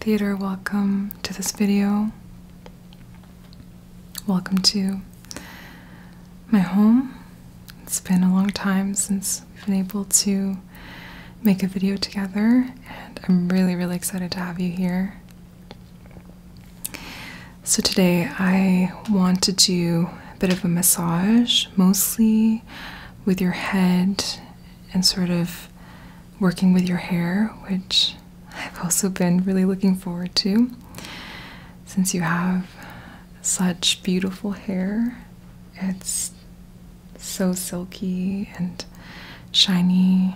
Theater, welcome to this video. Welcome to my home. It's been a long time since we've been able to make a video together, and I'm really, really excited to have you here. So, today I want to do a bit of a massage, mostly with your head and sort of working with your hair, which I've also been really looking forward to since you have such beautiful hair. It's so silky and shiny.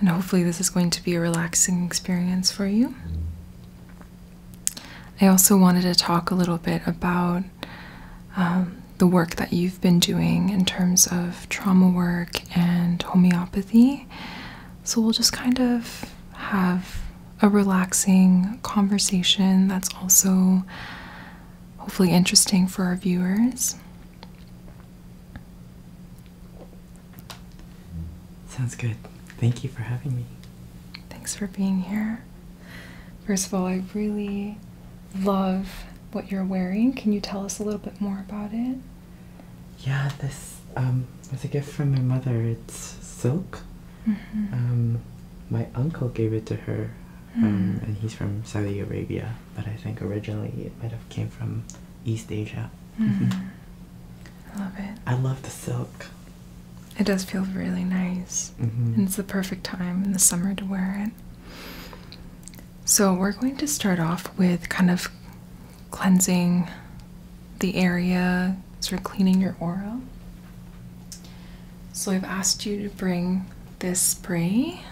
And hopefully, this is going to be a relaxing experience for you. I also wanted to talk a little bit about um, the work that you've been doing in terms of trauma work and homeopathy. So, we'll just kind of have a relaxing conversation that's also hopefully interesting for our viewers. Sounds good. Thank you for having me. Thanks for being here. First of all, I really love what you're wearing. Can you tell us a little bit more about it? Yeah, this um, was a gift from my mother. It's silk. Mm-hmm. Um, my uncle gave it to her, um, mm. and he's from Saudi Arabia but I think originally it might have came from East Asia. Hmm. I love it. I love the silk. It does feel really nice, and mm-hmm. it's the perfect time in the summer to wear it. So, we're going to start off with kind of cleansing the area, sort of cleaning your aura. So, I've asked you to bring this spray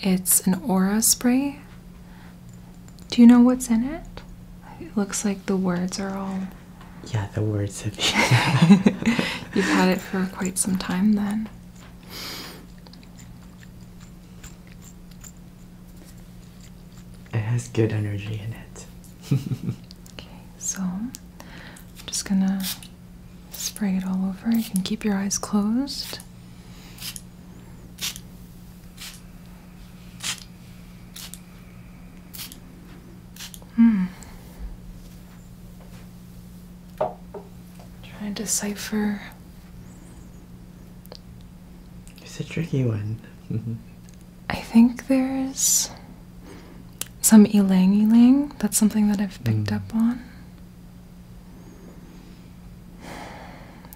it's an aura spray. Do you know what's in it? It looks like the words are all. Yeah, the words have. You've had it for quite some time then. It has good energy in it. okay, so I'm just gonna spray it all over. You can keep your eyes closed. Hmm. Trying to decipher. It's a tricky one. I think there's some elang elang. That's something that I've picked hmm. up on.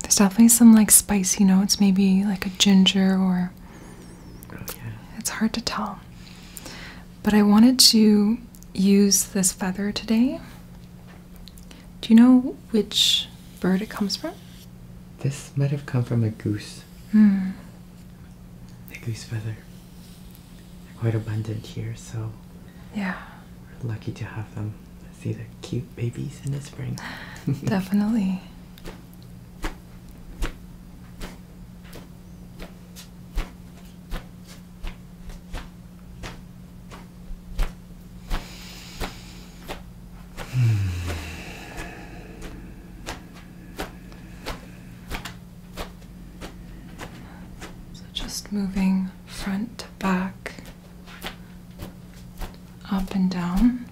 There's definitely some like spicy notes, maybe like a ginger or. Okay. It's hard to tell. But I wanted to use this feather today. Do you know which bird it comes from? This might have come from a goose. Hmm. A goose feather. quite abundant here, so yeah. We're lucky to have them. see the cute babies in the spring. Definitely. Hmm. So just moving front to back up and down.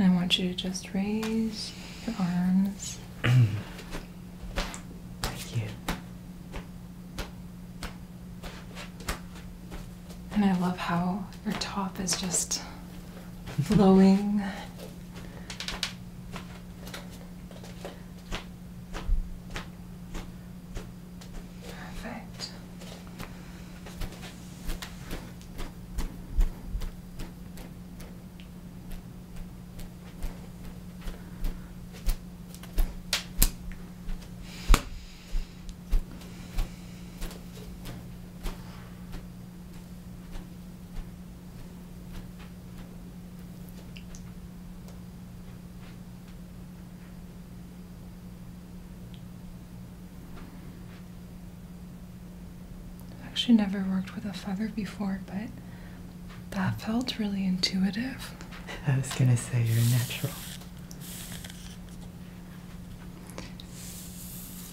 And I want you to just raise your arms. Thank you. And I love how your top is just Flowing, Perfect. I've actually never worked with a feather before, but that felt really intuitive. I was going to say you're natural.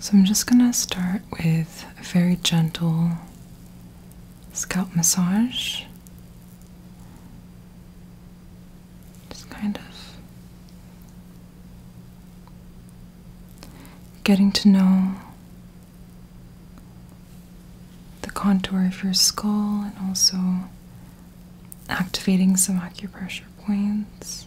So I'm just going to start with a very gentle scalp massage. Just kind of getting to know the contour of your skull and also activating some acupressure points.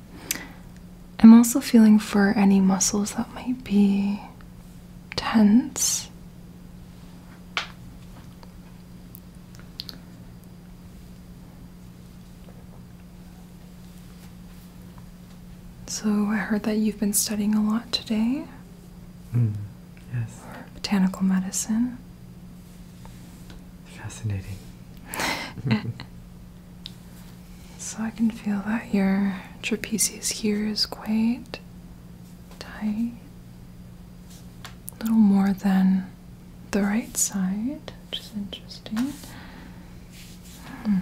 I'm also feeling for any muscles that might be tense. So, I heard that you've been studying a lot today. Hmm, yes. Botanical medicine. Fascinating. So I can feel that your trapezius here is quite tight. A little more than the right side, which is interesting. Hmm.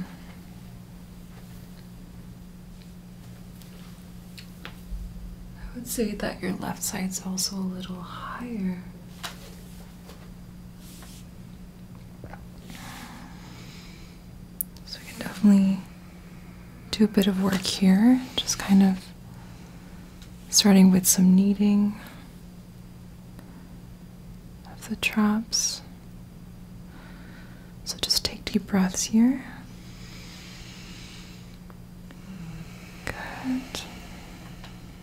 I would say that your left side's also a little higher. So we can definitely do a bit of work here, just kind of starting with some kneading of the traps. So just take deep breaths here. Good.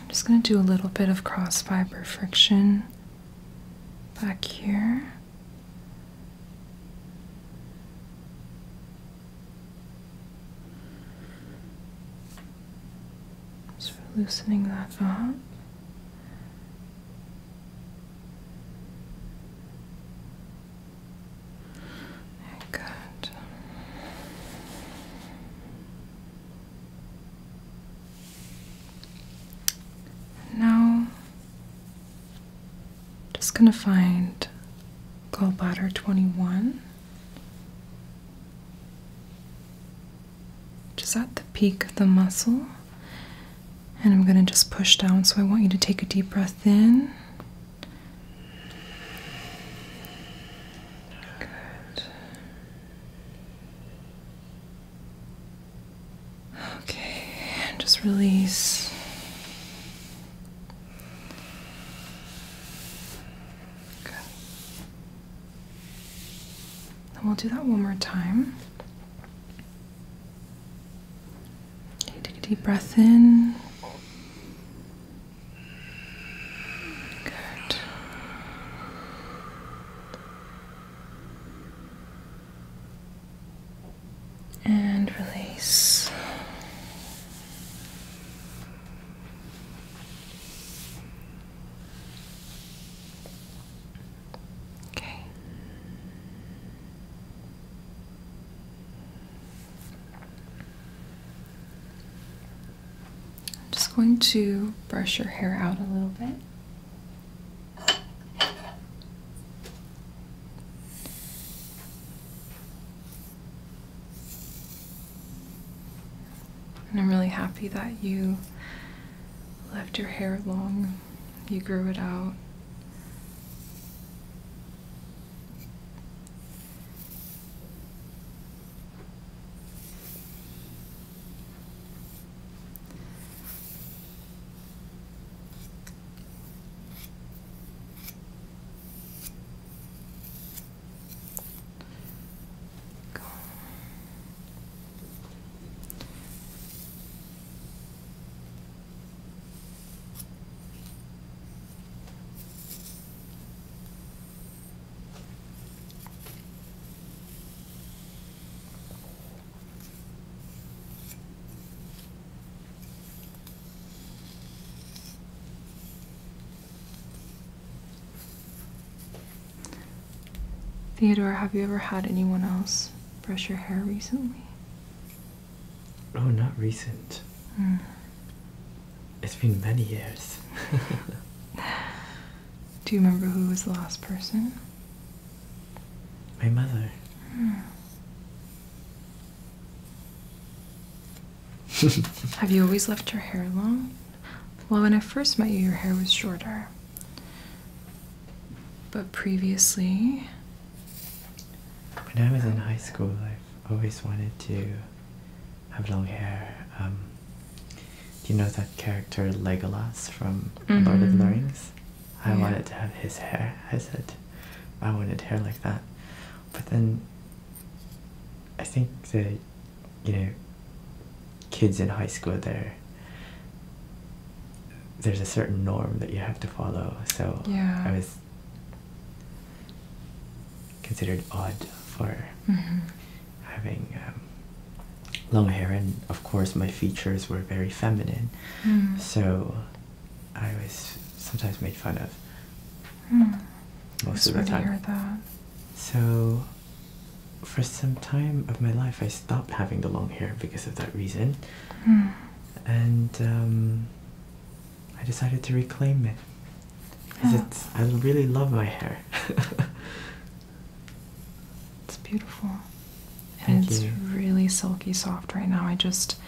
I'm just going to do a little bit of cross fiber friction back here. Just loosening that up. Good. now, just going to find gallbladder 21, Just at the peak of the muscle, and I'm going to just push down. So I want you to take a deep breath in. Good. Okay, and just release. Good. And we'll do that one more time take a deep breath in. Good. And release. Okay. I'm just going to brush your hair out a little bit. And I'm really happy that you left your hair long, you grew it out. Theodore, have you ever had anyone else brush your hair recently? Oh, not recent. Hmm. It's been many years. Do you remember who was the last person? My mother. Hmm. Have you always left your hair long? Well, when I first met you, your hair was shorter. But previously. When I was in high school, I've always wanted to have long hair. Um, do you know that character Legolas from Lord of the mm-hmm. Rings? I wanted to have his hair. I said, I wanted hair like that. But then I think the, you know, kids in high school, they're there's a certain norm that you have to follow. So I was considered odd for mm-hmm. having um, long hair, and of course my features were very feminine. Mm. So I was sometimes made fun of mm. most of the time. So for some time of my life, I stopped having the long hair because of that reason. Hmm. And um, I decided to reclaim it. I really love my hair. it's beautiful. And it's really silky soft right now. I just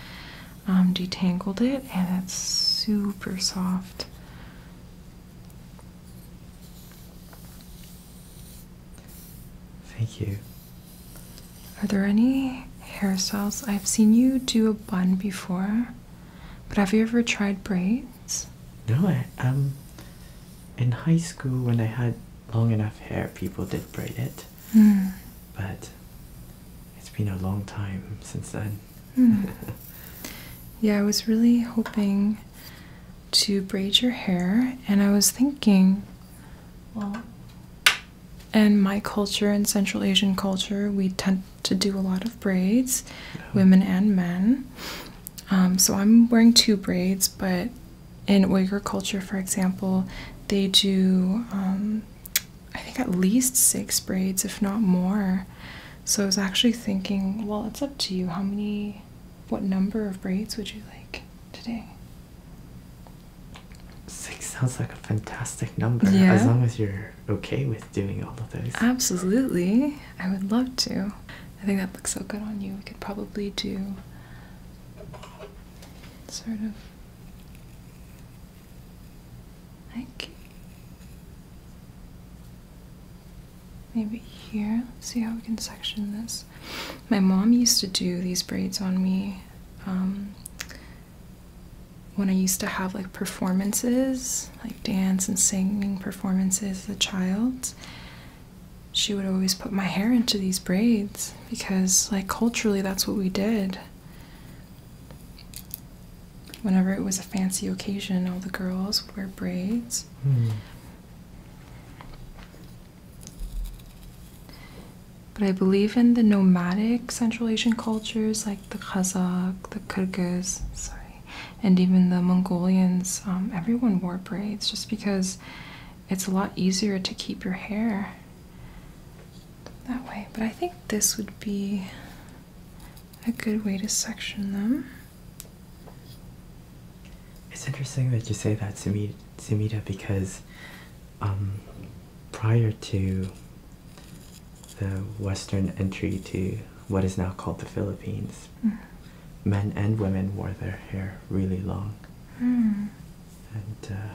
um, detangled it and it's super soft. Thank you. Are there any hairstyles? I've seen you do a bun before, but have you ever tried braids? No, I um in high school when I had long enough hair, people did braid it. Hmm. But it's been a long time since then. Hmm. yeah, I was really hoping to braid your hair, and I was thinking well, in my culture and Central Asian culture, we tend to do a lot of braids, women and men. Um, so I'm wearing two braids, but in Uyghur culture, for example, they do, um, I think, at least six braids, if not more. So I was actually thinking, well, it's up to you how many what number of braids would you like today? Six sounds like a fantastic number. Yeah. As long as you're okay with doing all of those. Absolutely. I would love to. I think that looks so good on you. We could probably do sort of like maybe here. Let's see how we can section this. My mom used to do these braids on me um, when I used to have like performances, like dance and singing performances as a child. She would always put my hair into these braids because, like, culturally, that's what we did. Whenever it was a fancy occasion, all the girls wear braids. Hmm. But I believe in the nomadic Central Asian cultures like the Kazakh, the Kyrgyz, and even the Mongolians, um, everyone wore braids just because it's a lot easier to keep your hair that way. But I think this would be a good way to section them. It's interesting that you say that, Sumita, because um, prior to the Western entry to what is now called the Philippines, mm-hmm. men and women wore their hair really long. Mm. And uh,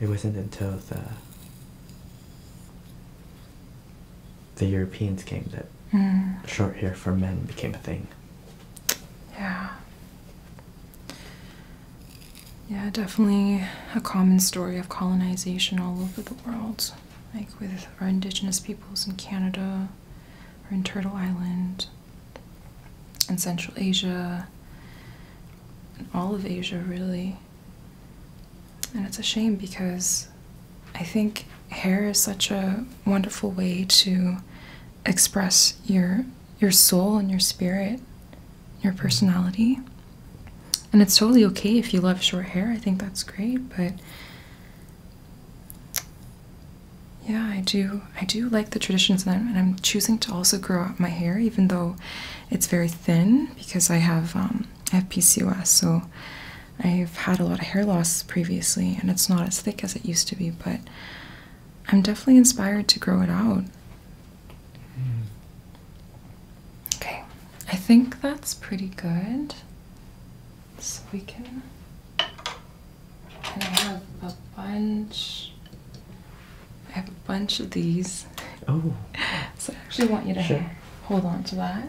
it wasn't until the the Europeans came that Mm. Short hair for men became a thing. Yeah. Yeah, definitely a common story of colonization all over the world, like with our indigenous peoples in Canada or in Turtle Island, in Central Asia, in all of Asia, really. And it's a shame because I think hair is such a wonderful way to express your your soul and your spirit, your personality. And it's totally okay if you love short hair. I think that's great, but yeah, I do. I do like the traditions, and I'm, and I'm choosing to also grow out my hair, even though it's very thin because I have um, I have PCOS, so I've had a lot of hair loss previously, and it's not as thick as it used to be. But I'm definitely inspired to grow it out. Hmm. Okay, I think that's pretty good. So we can. I have a bunch. I have a bunch of these. Oh. So I actually want you to hold on to that.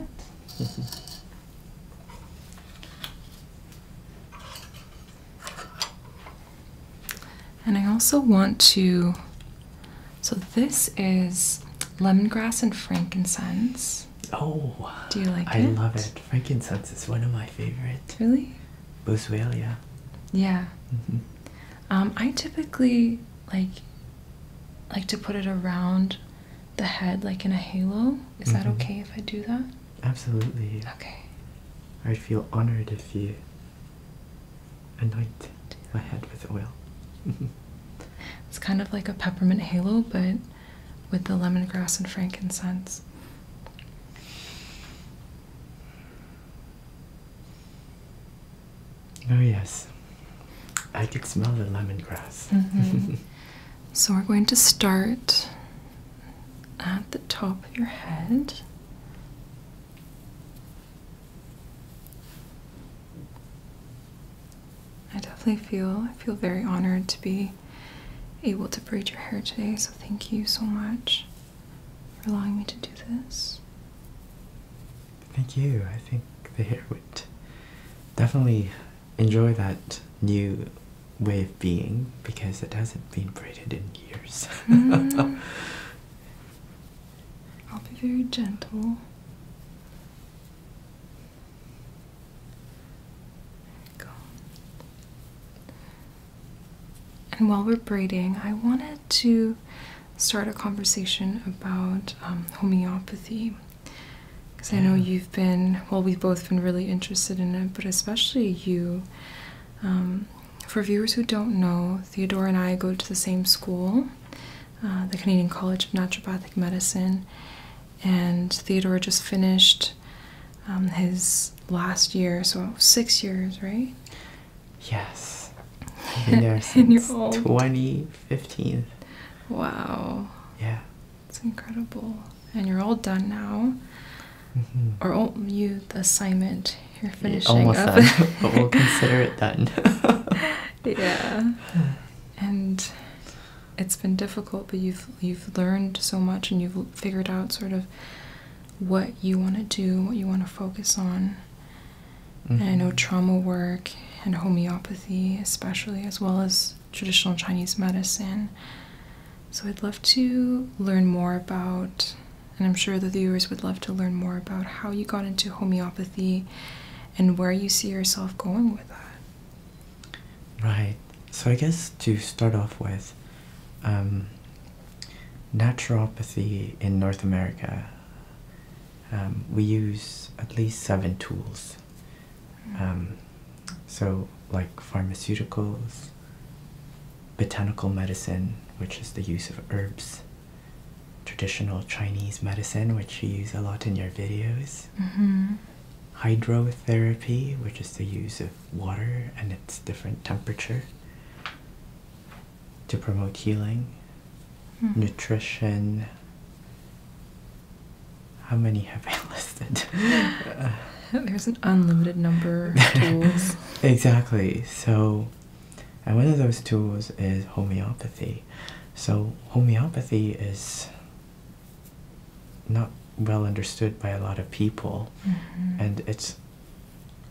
Mm-hmm. And I also want to, so this is lemongrass and frankincense. Oh, do you like I it? I love it. Frankincense is one of my favorites. Really? Boswellia. Yeah. Mm-hmm. Um, I typically like like to put it around the head, like in a halo. Is that mm-hmm. okay if I do that? Absolutely. Okay. I'd feel honored if you anoint my head with oil. it's kind of like a peppermint halo, but with the lemongrass and frankincense. Oh, yes. I could smell the lemongrass. Mm-hmm. So we're going to start at the top of your head. I definitely feel I feel very honored to be able to braid your hair today, so thank you so much for allowing me to do this. Thank you. I think the hair would definitely enjoy that new way of being because it hasn't been braided in years. Mm. I'll be very gentle. And while we're braiding, I wanted to start a conversation about um, homeopathy. Because I know you've been, well, we've both been really interested in it, but especially you. Um, for viewers who don't know, Theodore and I go to the same school, uh, the Canadian College of Naturopathic Medicine, and Theodore just finished um, his last year, so six years, right? Yes. i there since 2015. Wow. Yeah. It's incredible and you're all done now. Mm-hmm. Or oh, you the assignment you're finishing Almost Done, but we'll consider it done. yeah, and it's been difficult, but you've you've learned so much, and you've figured out sort of what you want to do, what you want to focus on. And I know mm-hmm. trauma work and homeopathy, especially, as well as traditional Chinese medicine. So I'd love to learn more about, and I'm sure the viewers would love to learn more about how you got into homeopathy and where you see yourself going with that. Right. So I guess to start off with, um, naturopathy in North America, um, we use at least seven tools um, so, like pharmaceuticals, botanical medicine, which is the use of herbs, traditional Chinese medicine, which you use a lot in your videos, mm-hmm. hydrotherapy, which is the use of water and its different temperature to promote healing, mm-hmm. nutrition, how many have I listed? There's an unlimited number of tools. exactly. So, and one of those tools is homeopathy. So, homeopathy is not well understood by a lot of people, mm-hmm. and it's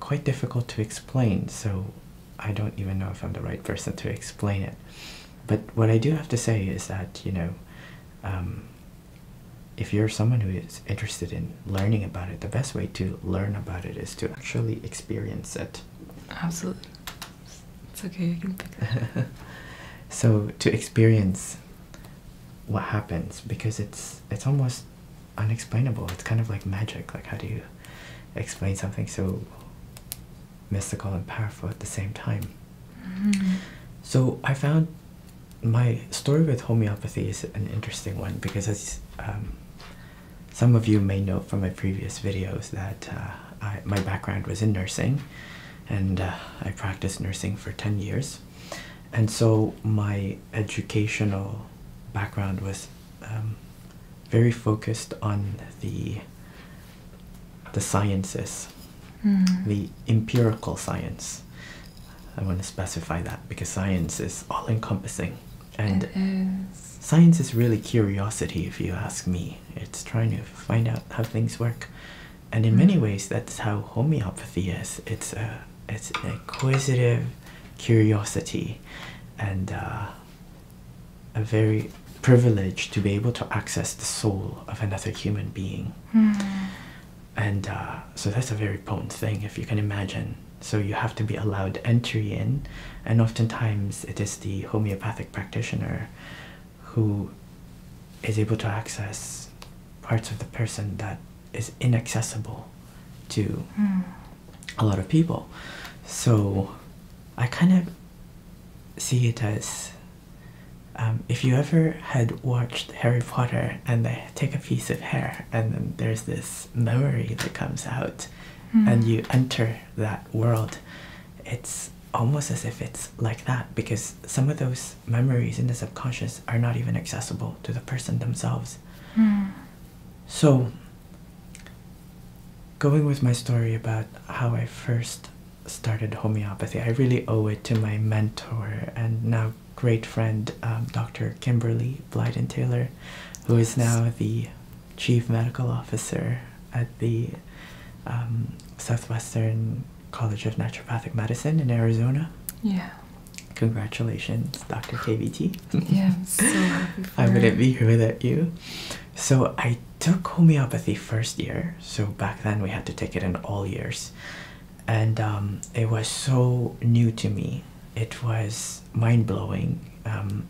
quite difficult to explain. So, I don't even know if I'm the right person to explain it. But what I do have to say is that, you know, um, if you're someone who is interested in learning about it, the best way to learn about it is to actually experience it. Absolutely. It's okay, so to experience what happens because it's it's almost unexplainable. It's kind of like magic. Like how do you explain something so mystical and powerful at the same time? Mm-hmm. So I found my story with homeopathy is an interesting one because, as um, some of you may know from my previous videos, that uh, my background was in nursing, and uh, I practiced nursing for ten years, and so my educational background was um, very focused on the the sciences the empirical science. I want to specify that because science is all encompassing. And science is really curiosity, if you ask me. It's trying to find out how things work. And in many mm. ways, that's how homeopathy is. It's, a, it's an inquisitive curiosity and uh, a very privilege to be able to access the soul of another human being. Hmm and uh, so that's a very potent thing if you can imagine so you have to be allowed entry in and oftentimes it is the homeopathic practitioner who is able to access parts of the person that is inaccessible to hmm. a lot of people so i kind of see it as um, if you ever had watched Harry Potter and they take a piece of hair and then there's this memory that comes out hmm. and you enter that world, it's almost as if it's like that because some of those memories in the subconscious are not even accessible to the person themselves. Hmm. So, going with my story about how I first started homeopathy. I really owe it to my mentor and now great friend, um, Dr. Kimberly Blyden Taylor, who is now the chief medical officer at the um, Southwestern College of Naturopathic Medicine in Arizona. Yeah. Congratulations, Dr. KVT. yeah, I wouldn't be here without you. So I took homeopathy first year. So back then we had to take it in all years and um, it was so new to me it was mind-blowing um,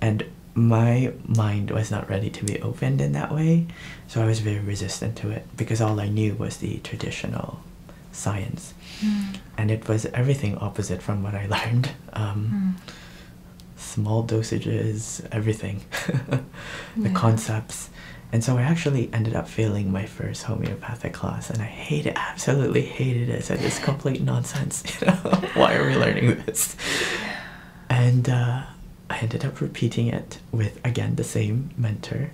and my mind was not ready to be opened in that way so i was very resistant to it because all i knew was the traditional science hmm. and it was everything opposite from what i learned um, hmm. small dosages everything the concepts and so I actually ended up failing my first homeopathic class, and I hated, it, absolutely hated it. I said, it's complete nonsense, why are we learning this? And uh, I ended up repeating it with, again, the same mentor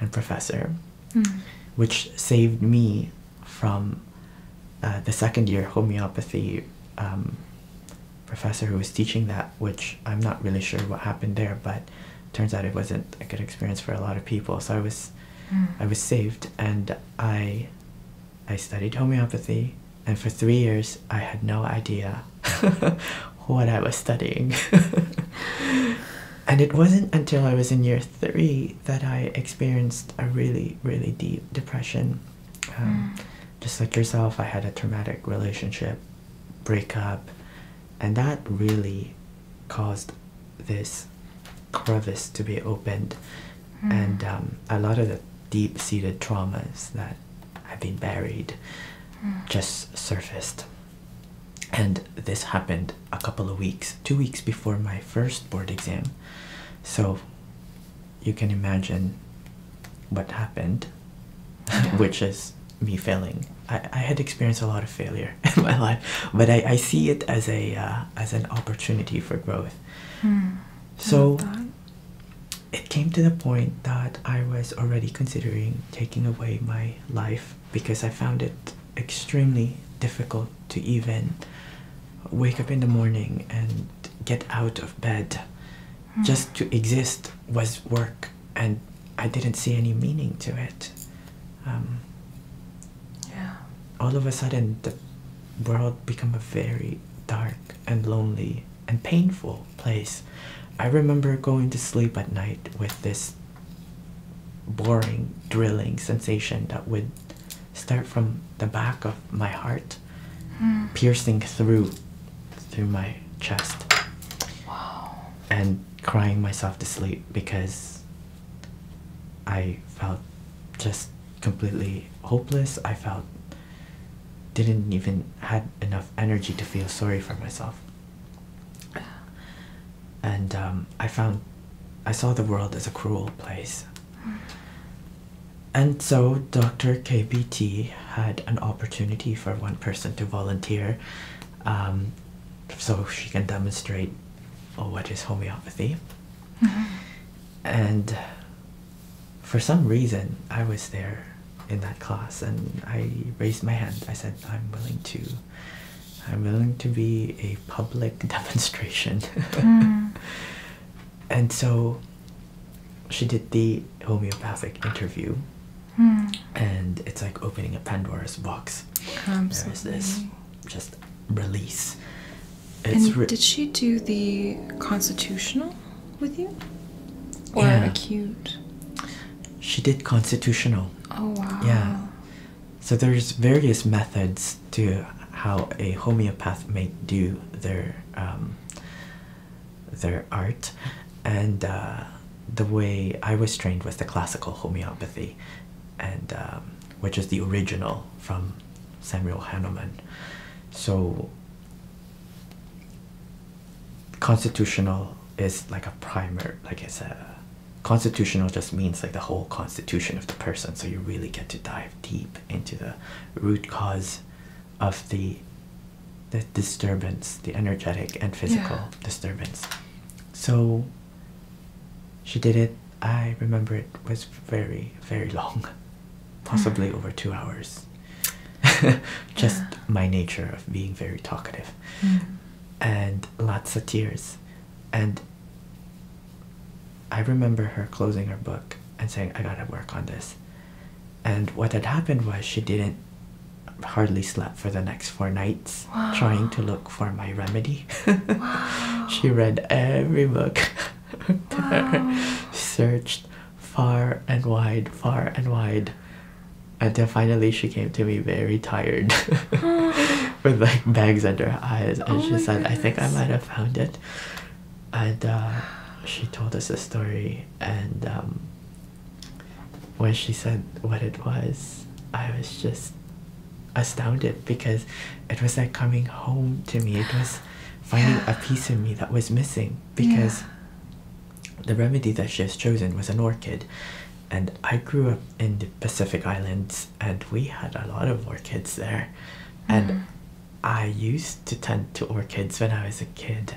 and professor, hmm. which saved me from uh, the second year homeopathy um, professor who was teaching that which I'm not really sure what happened there, but turns out it wasn't a good experience for a lot of people. So I was, hmm. I was saved, and I, I studied homeopathy, and for three years I had no idea what I was studying. and it wasn't until I was in year three that I experienced a really, really deep depression. Um, hmm. Just like yourself, I had a traumatic relationship breakup, and that really caused this crevice to be opened hmm. and um, a lot of the deep-seated traumas that have been buried hmm. just surfaced and this happened a couple of weeks two weeks before my first board exam so you can imagine what happened which is me failing. I, I had experienced a lot of failure in my life, but I, I see it as a uh, as an opportunity for growth. Hmm. so it came to the point that I was already considering taking away my life because I found it extremely difficult to even wake up in the morning and get out of bed hmm. just to exist was work and I didn't see any meaning to it. Um, yeah. All of a sudden, the world became a very dark and lonely and painful place. I remember going to sleep at night with this boring, drilling sensation that would start from the back of my heart, hmm. piercing through through my chest. Wow. And crying myself to sleep because I felt just completely hopeless. I felt didn't even had enough energy to feel sorry for myself. And um, I found I saw the world as a cruel place. And so Dr. KBT had an opportunity for one person to volunteer um, so she can demonstrate oh, what is homeopathy. Mm-hmm. And for some reason, I was there in that class, and I raised my hand. I said, "I'm willing to." I'm willing to be a public demonstration. Mm. And so she did the homeopathic interview Hmm. And it's like opening a Pandora's box. There is this just release. and did she do the constitutional with you? yeah. acute? She did constitutional. Oh wow. Yeah. So there's various methods to how a homeopath may do their um, their art and uh, the way I was trained was the classical homeopathy, and um, which is the original from Samuel Hahnemann. So constitutional is like a primer, like it's a constitutional just means like the whole constitution of the person. So you really get to dive deep into the root cause of the the disturbance, the energetic and physical disturbance. So she did it. I remember it was very, very long, hmm. possibly over two hours. Just my nature of being very talkative. Hmm. And lots of tears. And I remember her closing her book and saying, I gotta work on this. And what had happened was she didn't hardly slept for the next four nights trying to look for my remedy. She read every book searched far and wide, far and wide. Until finally she came to me very tired with like bags under her eyes and oh she said, I think I might have found it. And uh, she told us a story and um, when she said what it was, I was just astounded because it was like coming home to me. It was finding a piece of me that was missing because the remedy that she has chosen was an orchid. And I grew up in the Pacific Islands and we had a lot of orchids there. And mm-hmm. I used to tend to orchids when I was a kid.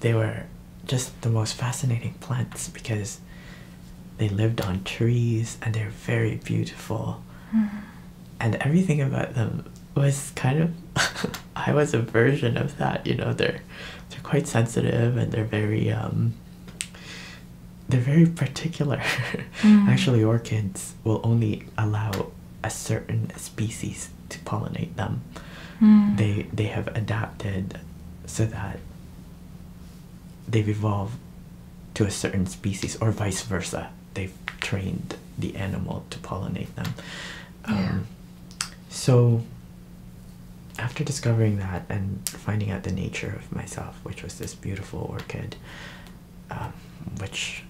They were just the most fascinating plants because they lived on trees and they're very beautiful. Hmm. And everything about them was kind of I was a version of that, you know, they're they're quite sensitive and they're very um, they're very particular. Hmm. Actually orchids will only allow a certain species to pollinate them. Mm. they they have adapted so that they've evolved to a certain species or vice versa they've trained the animal to pollinate them yeah. Um, so after discovering that and finding out the nature of myself which was this beautiful orchid um, which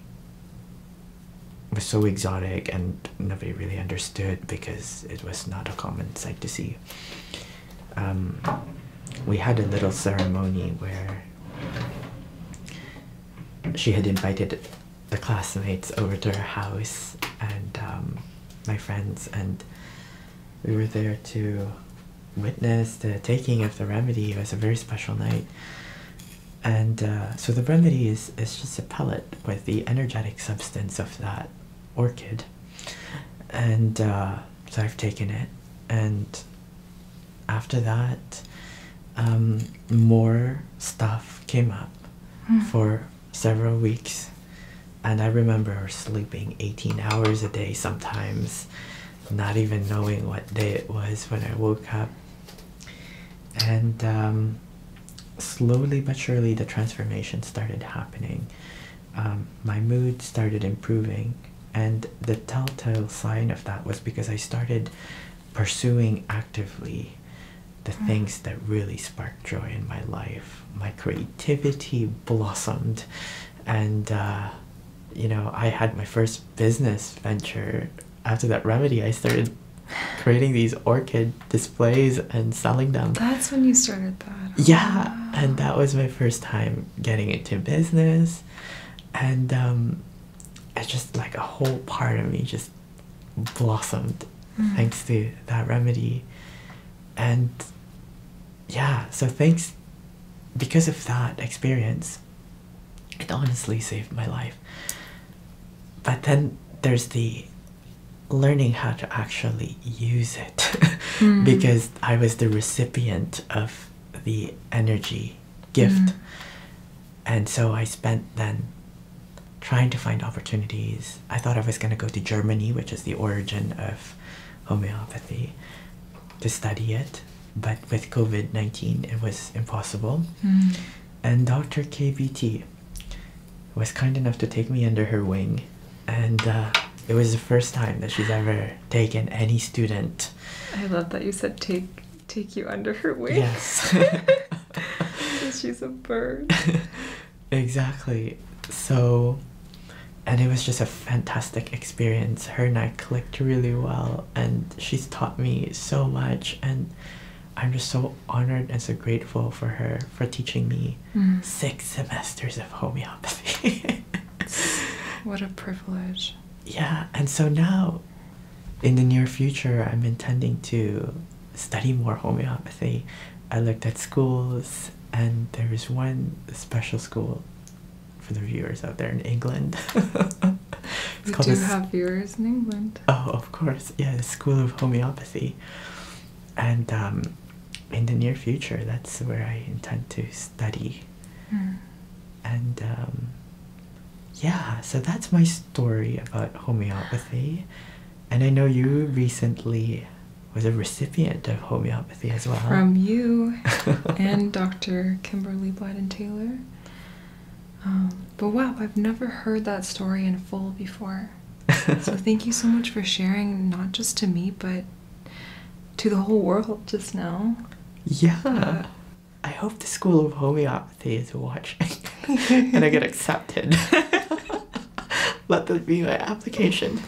was so exotic and nobody really understood because it was not a common sight to see um, we had a little ceremony where she had invited the classmates over to her house and um, my friends, and we were there to witness the taking of the remedy. It was a very special night. And uh, so the remedy is just a pellet with the energetic substance of that orchid and uh, so I've taken it and after that um, more stuff came up hmm. for several weeks and I remember sleeping 18 hours a day sometimes not even knowing what day it was when I woke up and um, slowly but surely the transformation started happening. Um, my mood started improving, and the telltale sign of that was because I started pursuing actively the mm. things that really spark joy in my life. My creativity blossomed, and uh, you know, I had my first business venture after that remedy. I started creating these orchid displays and selling them. That's when you started that. Yeah, oh, and that was my first time getting into business, and um, it's just like a whole part of me just blossomed mm-hmm. thanks to that remedy, and yeah, so thanks because of that experience, it honestly saved my life. But then there's the learning how to actually use it hmm. because I was the recipient of the energy gift. Hmm. And so I spent then trying to find opportunities. I thought I was going to go to Germany, which is the origin of homeopathy, to study it. But with COVID 19, it was impossible. Hmm. And Dr. KBT was kind enough to take me under her wing, and uh, it was the first time that she's ever taken any student. I love that you said take take you under her wings. Yes. she's a bird. exactly. So and it was just a fantastic experience. Her and I clicked really well, and she's taught me so much, and I'm just so honored and so grateful for her for teaching me mm. six semesters of homeopathy. what a privilege. Yeah, and so now in the near future, I'm intending to study more homeopathy. I looked at schools, and there is one special school for the viewers out there in England. we do have viewers in England. Oh, of course. Yeah, the School of Homeopathy. And um, in the near future, that's where I intend to study. Hmm. And um, yeah, so that's my story about homeopathy. And I know you recently was a recipient of homeopathy as well. From you and Dr. Kimberly Blyden Taylor. Um, but wow, I've never heard that story in full before. so thank you so much for sharing, not just to me, but to the whole world just now. Yeah. Uh, I hope the School of Homeopathy is watching and I get accepted. Let this be my application.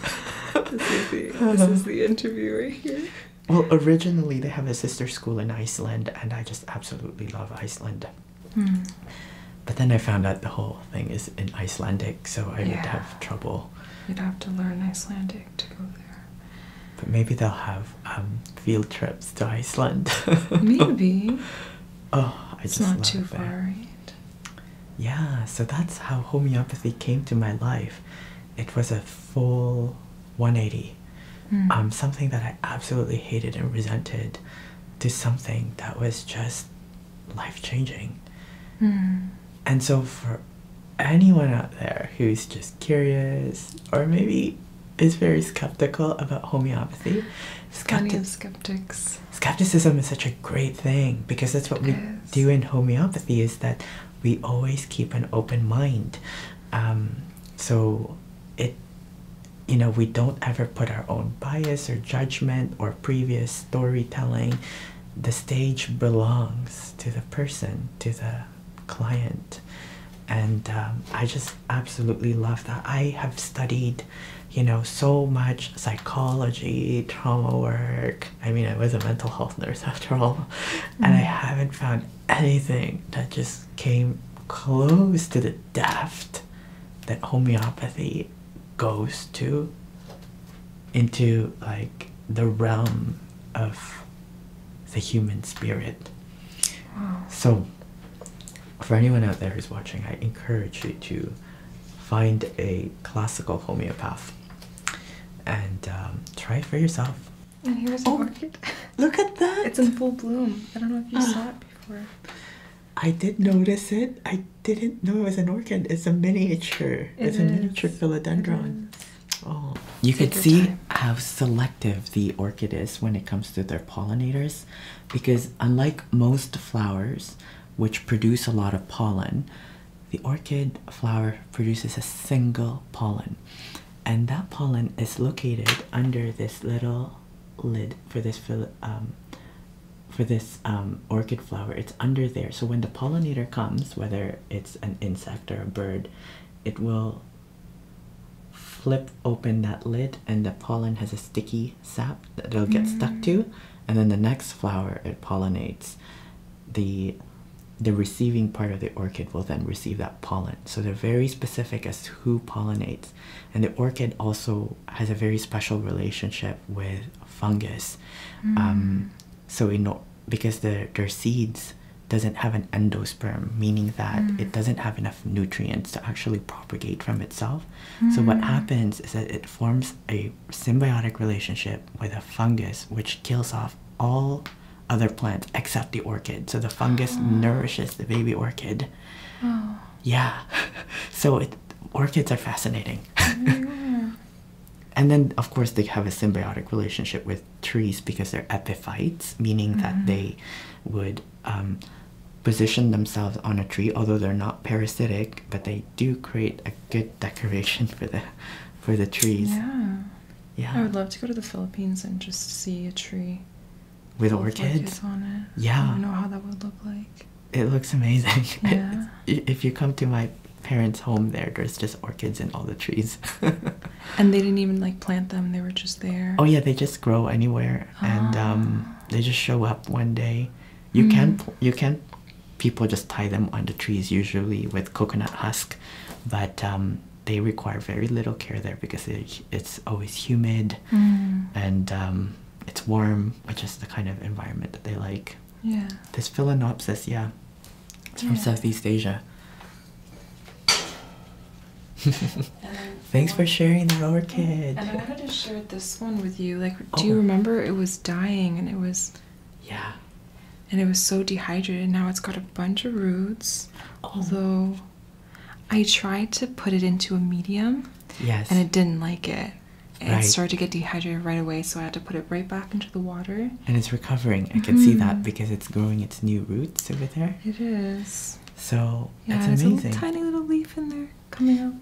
this is the interview right here. Well, originally they have a sister school in Iceland, and I just absolutely love Iceland. Hmm. But then I found out the whole thing is in Icelandic, so I would have trouble. You'd have to learn Icelandic to go there. But maybe they'll have um, field trips to Iceland. maybe. Oh, I it's not too far. Yeah, so that's how homeopathy came to my life. It was a full 180. Hmm. Um, something that I absolutely hated and resented to something that was just life changing. Hmm. And so, for anyone out there who's just curious or maybe is very skeptical about homeopathy, skeptics. Skepticism is such a great thing because that's what we do in homeopathy is that we always keep an open mind. Um, so it you know, we don't ever put our own bias or judgment or previous storytelling the stage belongs to the person to the client and um, i just absolutely love that i have studied you know so much psychology trauma work i mean i was a mental health nurse after all and i mm-hmm. haven't found anything that just came close to the depth that homeopathy goes to into like the realm of the human spirit. So, for anyone out there who's watching, I encourage you to find a classical homeopath and um, try it for yourself. And here's an oh, orchid. Look at that! It's in full bloom. I don't know if you ah. saw it before. I did notice it. I didn't know it was an orchid. It's a miniature. it's a miniature philodendron. Oh. You could see how selective the orchid is when it comes to their pollinators because unlike most flowers which produce a lot of pollen, the orchid flower produces a single pollen. And that pollen is located under this little lid for this um, for this um, orchid flower, it's under there. So when the pollinator comes, whether it's an insect or a bird, it will flip open that lid and the pollen has a sticky sap that it'll get stuck to. Mm. And then the next flower it pollinates, the the receiving part of the orchid will then receive that pollen. So they're very specific as to who pollinates and the orchid also has a very special relationship with fungus mm. um, so we because the, their seeds doesn't have an endosperm meaning that mm. it doesn't have enough nutrients to actually propagate from itself so what mm. happens is that it forms a symbiotic relationship with a fungus which kills off all other plants except the orchid so the fungus nourishes the baby orchid oh. yeah so orchids are fascinating and then, of course, they have a symbiotic relationship with trees because they're epiphytes, meaning that mm-hmm. they would um, position themselves on a tree, although they're not parasitic, but they do create a good decoration for the for the trees. Yeah. Yeah. I would love to go to the Philippines and just see a tree with orchids, orchids on it. Yeah. I don't know how that would look like it looks amazing. Yeah. if you come to my parents' home there, there's just orchids in all the trees. and they didn't even like plant them, they were just there. Oh yeah, they just grow anywhere and um, ah. they just show up one day. You mm. can mm-hmm. you can people just tie them on the trees usually with coconut husk, but um, they require very little care there because it's always humid mm. and um, it's warm which is the kind of environment that they like. Yeah. This philonopsis, yeah, it's from Southeast Asia. Thanks for sharing the orchid. And I wanted to share this one with you. Like, do you oh. remember it was dying and it was. Yeah. And it was so dehydrated. Now it's got a bunch of roots. Oh. Although I tried to put it into a medium. Yes. And it didn't like it and right. started to get dehydrated right away, so I had to put it right back into the water. And it's recovering. I can see mm-hmm. that because it's growing its new roots over there. It is. So yeah, that's A tiny little leaf in there coming out.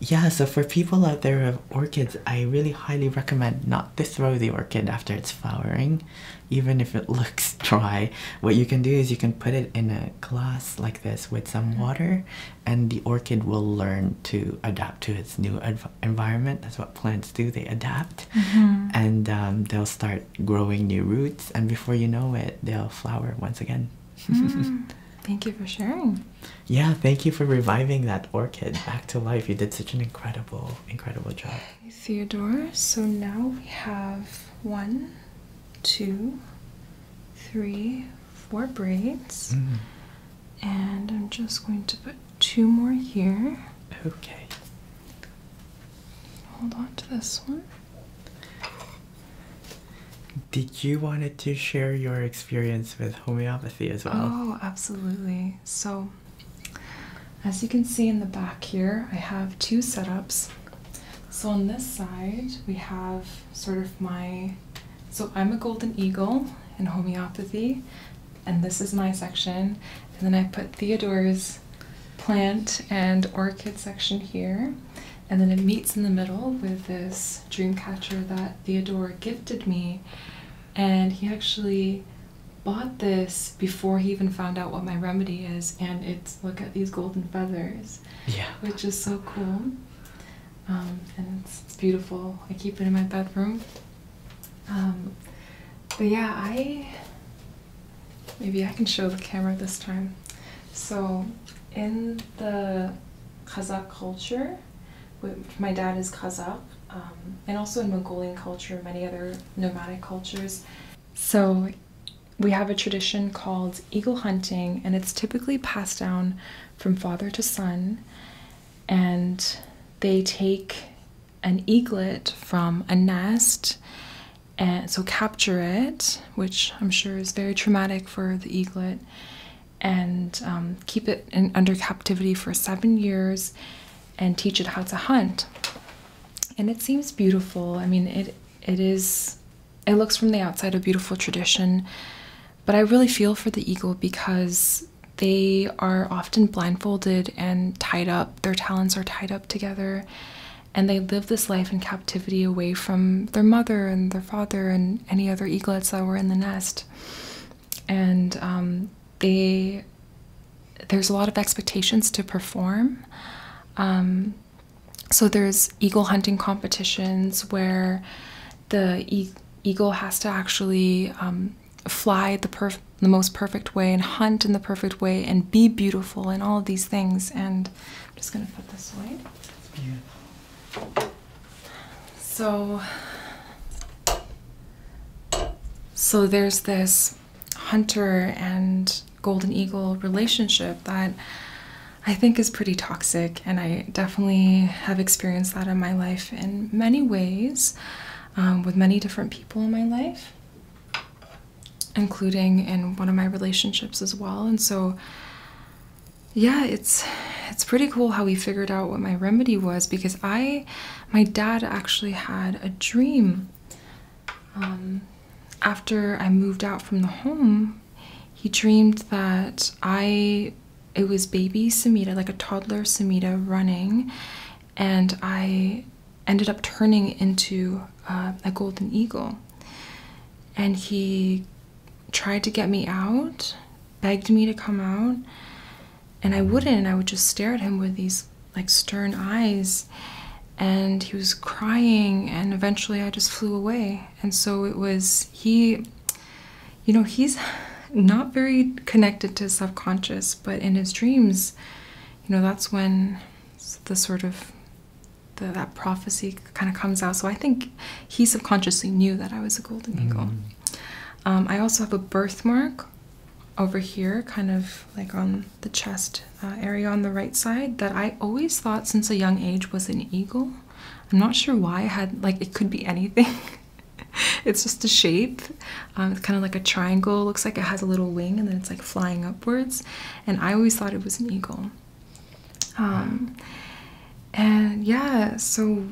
Yeah, so for people out there who orchids, I really highly recommend not to throw the orchid after it's flowering, even if it looks dry. What you can do is you can put it in a glass like this with some mm-hmm. water and the orchid will learn to adapt to its new environment. That's what plants do, they adapt mm-hmm. and um, they'll start growing new roots, and before you know it, they'll flower once again. Mm. Thank you for sharing. Yeah, thank you for reviving that orchid back to life. You did such an incredible, incredible job. Theodore, so now we have one, two, three, four braids. Mm. And I'm just going to put two more here. Okay. Hold on to this one. Did you wanted to share your experience with homeopathy as well? Oh, absolutely. So, as you can see in the back here, I have two setups. So on this side, we have sort of my so I'm a golden eagle in homeopathy, and this is my section. And then I put Theodora's plant and orchid section here. And then it meets in the middle with this dream catcher that Theodora gifted me. And he actually bought this before he even found out what my remedy is. And it's look at these golden feathers, which is so cool. Um, and it's, beautiful. I keep it in my bedroom. Um, but yeah, I maybe I can show the camera this time. So in the Kazakh culture, my dad is Kazakh, um, and also in Mongolian culture, many other nomadic cultures. So we have a tradition called eagle hunting, and it's typically passed down from father to son, and they take an eaglet from a nest and so capture it, which I'm sure is very traumatic for the eaglet, and um, keep it under captivity for seven years and teach it how to hunt. And it seems beautiful. I mean, it it is. It looks from the outside a beautiful tradition, but I really feel for the eagle because they are often blindfolded and tied up. Their talons are tied up together, and they live this life in captivity away from their mother and their father and any other eaglets that were in the nest. And um, they, there's a lot of expectations to perform. Um, so there's eagle hunting competitions where the eagle has to actually um, fly the most perfect way and hunt in the perfect way and be beautiful and all of these things. And I'm just gonna put this away. It's beautiful. So, so there's this hunter and golden eagle relationship that I think is pretty toxic, and I definitely have experienced that in my life in many ways um, with many different people in my life, including in one of my relationships as well. And so, yeah, it's it's pretty cool how we figured out what my remedy was because I, my dad actually had a dream. Um, after I moved out from the home he dreamed that I, it was baby Samita, like a toddler Samita running, and I ended up turning into uh, a golden eagle. And he tried to get me out, begged me to come out, and I wouldn't. And I would just stare at him with these like stern eyes, and he was crying. And eventually, I just flew away. And so it was he, you know, he's not very connected to subconscious, but in his dreams, you know, that's when the sort of that prophecy kind of comes out. So I think he subconsciously knew that I was a golden eagle. Mm. Um, I also have a birthmark over here, kind of like on the chest uh, area on the right side, that I always thought since a young age was an eagle. I'm not sure why I had like it could be anything. it's just a shape. Um, it's kind of like a triangle. Looks like it has a little wing and then it's like flying upwards. And I always thought it was an eagle. Um, and yeah, so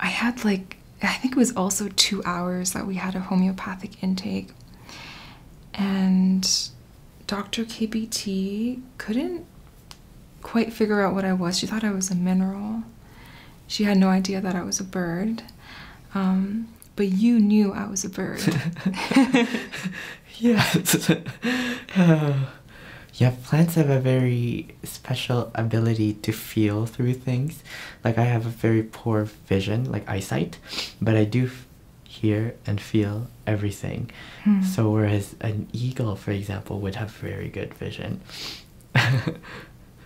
I had like I think it was also two hours that we had a homeopathic intake. And Dr. KBT couldn't quite figure out what I was. She thought I was a mineral. She had no idea that I was a bird. Um, but you knew I was a bird. yes. Yeah, plants have a very special ability to feel through things. Like, I have a very poor vision, like eyesight, but I do hear and feel everything. Hmm. So, whereas an eagle, for example, would have very good vision.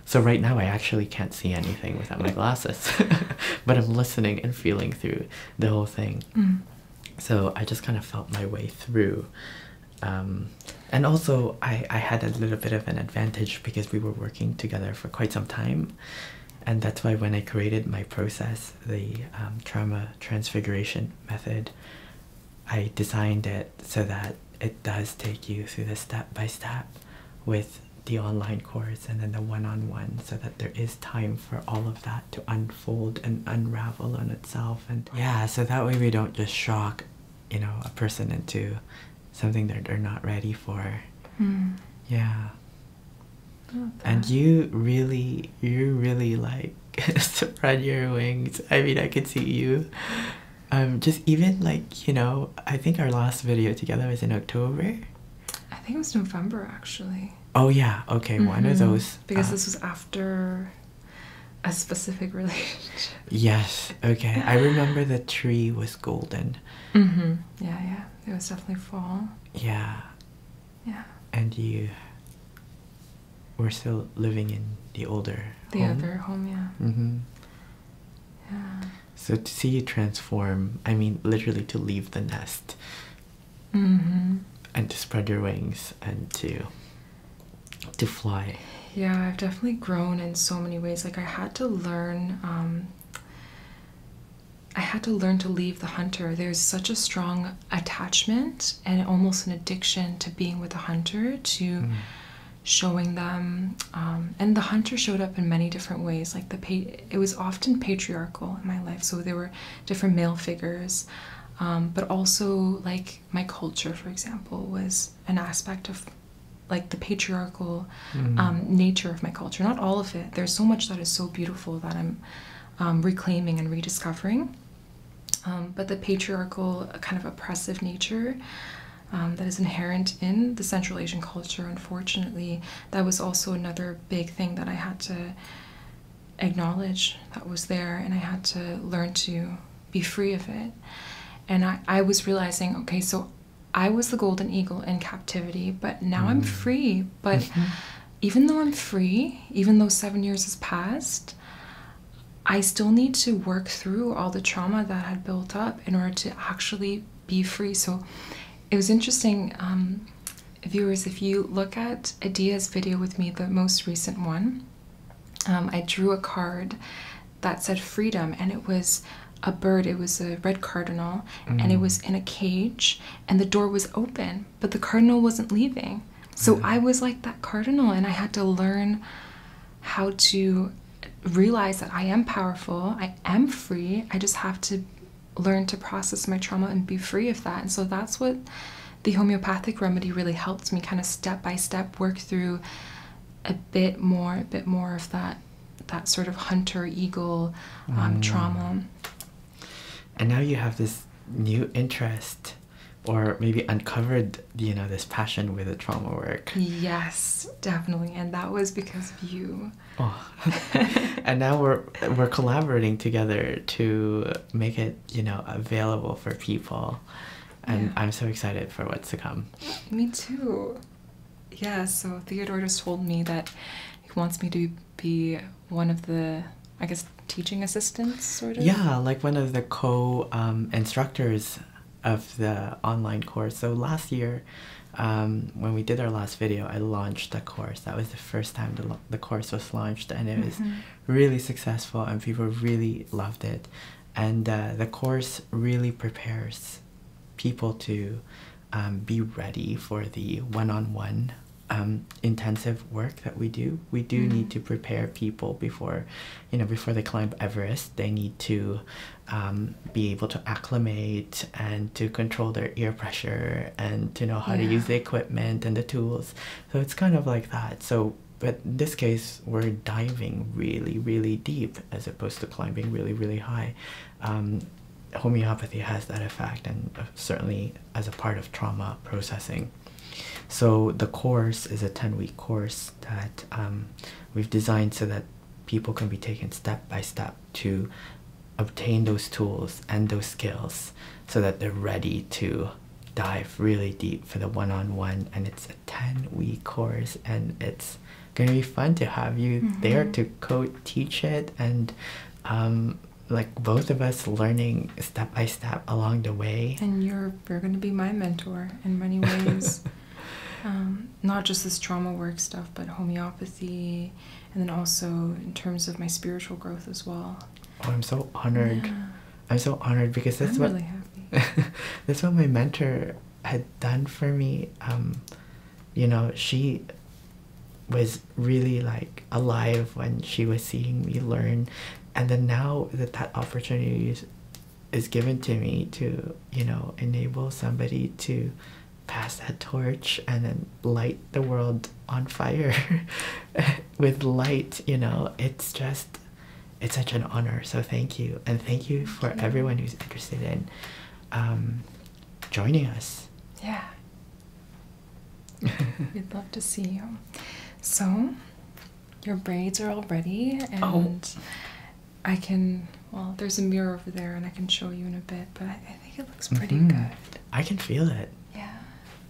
so, right now, I actually can't see anything without my glasses, but I'm listening and feeling through the whole thing. Hmm. So, I just kind of felt my way through. Um, and also, I, had a little bit of an advantage because we were working together for quite some time. And that's why when I created my process, the um, trauma transfiguration method, I designed it so that it does take you through the step by step with the online course and then the one on one so that there is time for all of that to unfold and unravel on itself. And yeah, so that way we don't just shock, you know, a person into something that they're not ready for. Hmm. Yeah. And you really, you really like spread your wings. I mean, I could see you. Um, just even like you know, I think our last video together was in October. I think it was November actually. Oh yeah, okay, one of mm-hmm. those. Because uh, this was after a specific relationship. yes. Okay, I remember the tree was golden. Mm -hmm. Yeah, yeah. It was definitely fall. Yeah. Yeah. And you we're still living in the older the home. other home yeah mm-hmm yeah so to see you transform i mean literally to leave the nest mm-hmm and to spread your wings and to to fly yeah i've definitely grown in so many ways like i had to learn um, I had to learn to leave the hunter. There's such a strong attachment and almost an addiction to being with a hunter to mm. showing them um, and the hunter showed up in many different ways like the pa it was often patriarchal in my life so there were different male figures um, but also like my culture for example was an aspect of like the patriarchal mm. um, nature of my culture not all of it there's so much that is so beautiful that i'm reclaiming and rediscovering um, but the patriarchal, uh, kind of oppressive nature um, that is inherent in the Central Asian culture, unfortunately, that was also another big thing that I had to acknowledge that was there, and I had to learn to be free of it. And I, was realizing, okay, so I was the golden eagle in captivity, but now I'm mm-hmm. free. But mm-hmm. even though I'm free, even though seven years has passed, I still need to work through all the trauma that had built up in order to actually be free. So it was interesting, um, viewers, if you look at Adia's video with me, the most recent one, um, I drew a card that said freedom and it was a bird, it was a red cardinal, and it mm. was in a cage, and the door was open, but the cardinal wasn't leaving. So I was like that cardinal, and I had to learn how to realize that I am powerful, I am free. I just have to learn to process my trauma and be free of that. And so that's what the homeopathic remedy really helped me kind of step by step work through a bit more, a bit more of that that sort of hunter eagle um, mm. trauma. And now you have this new interest or maybe uncovered you know this passion with the trauma work yes definitely and that was because of you oh. and now we're we're collaborating together to make it you know available for people and i'm so excited for what's to come me too yeah so theodore just told me that he wants me to be one of the I guess teaching assistants, sort of. Yeah, like one of the co um, instructors of the online course. So last year, um, when we did our last video, I launched the course. That was the first time the, the course was launched, and it was mm-hmm. really successful, and people really loved it. And uh, the course really prepares people to um, be ready for the one on one intensive work that we do we do mm-hmm. need to prepare people before you know before they climb Everest they need to um, be able to acclimate and to control their ear pressure and to know how to use the equipment and the tools so it's kind of like that so but in this case we're diving really really deep as opposed to climbing really really high um, homeopathy has that effect and uh, certainly as a part of trauma processing so the course is a 10 week course that um, we've designed so that people can be taken step by step to obtain those tools and those skills so that they're ready to dive really deep for the one-on-one and it's a 10 week course and it's gonna be fun to have you mm-hmm. there to co-teach it and um, like both of us learning step by step along the way and you're you're going to be my mentor in many ways. Um, not just this trauma work stuff, but homeopathy, and then also in terms of my spiritual growth as well. Oh, I'm so honored. I'm so honored because that's what that's what my mentor had done for me. Um, you know, she was really like alive when she was seeing me learn and then now that that opportunity is, given to me to you know enable somebody to pass that torch and then light the world on fire with light you know it's just it's such an honor so thank you and thank you for everyone who's interested in um, joining us yeah we'd love to see you so your braids are all ready oh. and I can well there's a mirror over there and I can show you in a bit but I, think it looks pretty mm-hmm. good. I can feel it. Yeah.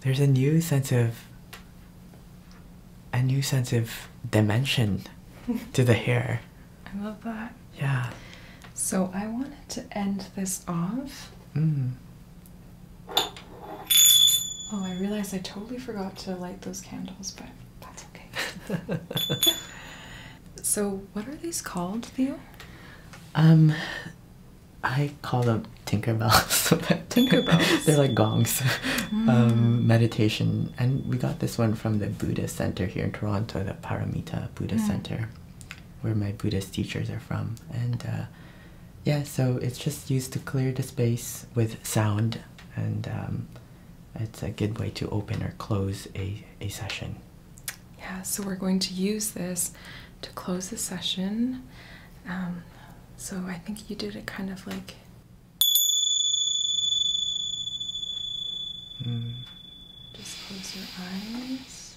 There's a new sense of a new sense of dimension to the hair. I love that. Yeah. So I wanted to end this off mm. Oh, I realized I totally forgot to light those candles, but that's okay. so, what are these called, Theo? Um, I call them Tinkerbells. Tinkerbells. They're like gongs. Mm. Um, meditation, and we got this one from the Buddha Center here in Toronto, the Paramita Buddha mm. Center, where my Buddhist teachers are from, and. Uh, yeah, so it's just used to clear the space with sound, and um, it's a good way to open or close a, a session. Yeah, so we're going to use this to close the session. Um, so I think you did it kind of like. Hmm. Just close your eyes.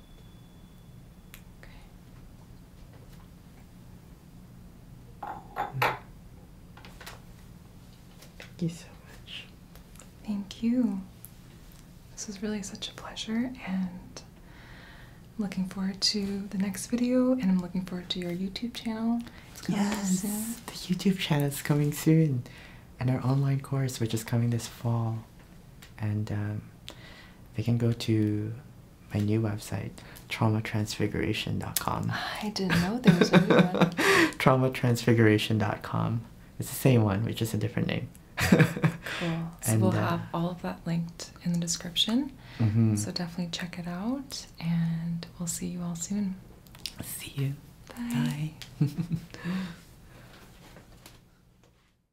Thank you so much. Thank you. This was really such a pleasure and I'm looking forward to the next video and I'm looking forward to your YouTube channel. yes, the YouTube channel is coming soon and our online course which is coming this fall and um, they can go to my new website traumatransfiguration.com ah, i didn't know there was a new one traumatransfiguration.com it's the same one which is a different name cool we'll uh, have all of that linked in the description mm-hmm. so definitely check it out and we'll see you all soon see you bye.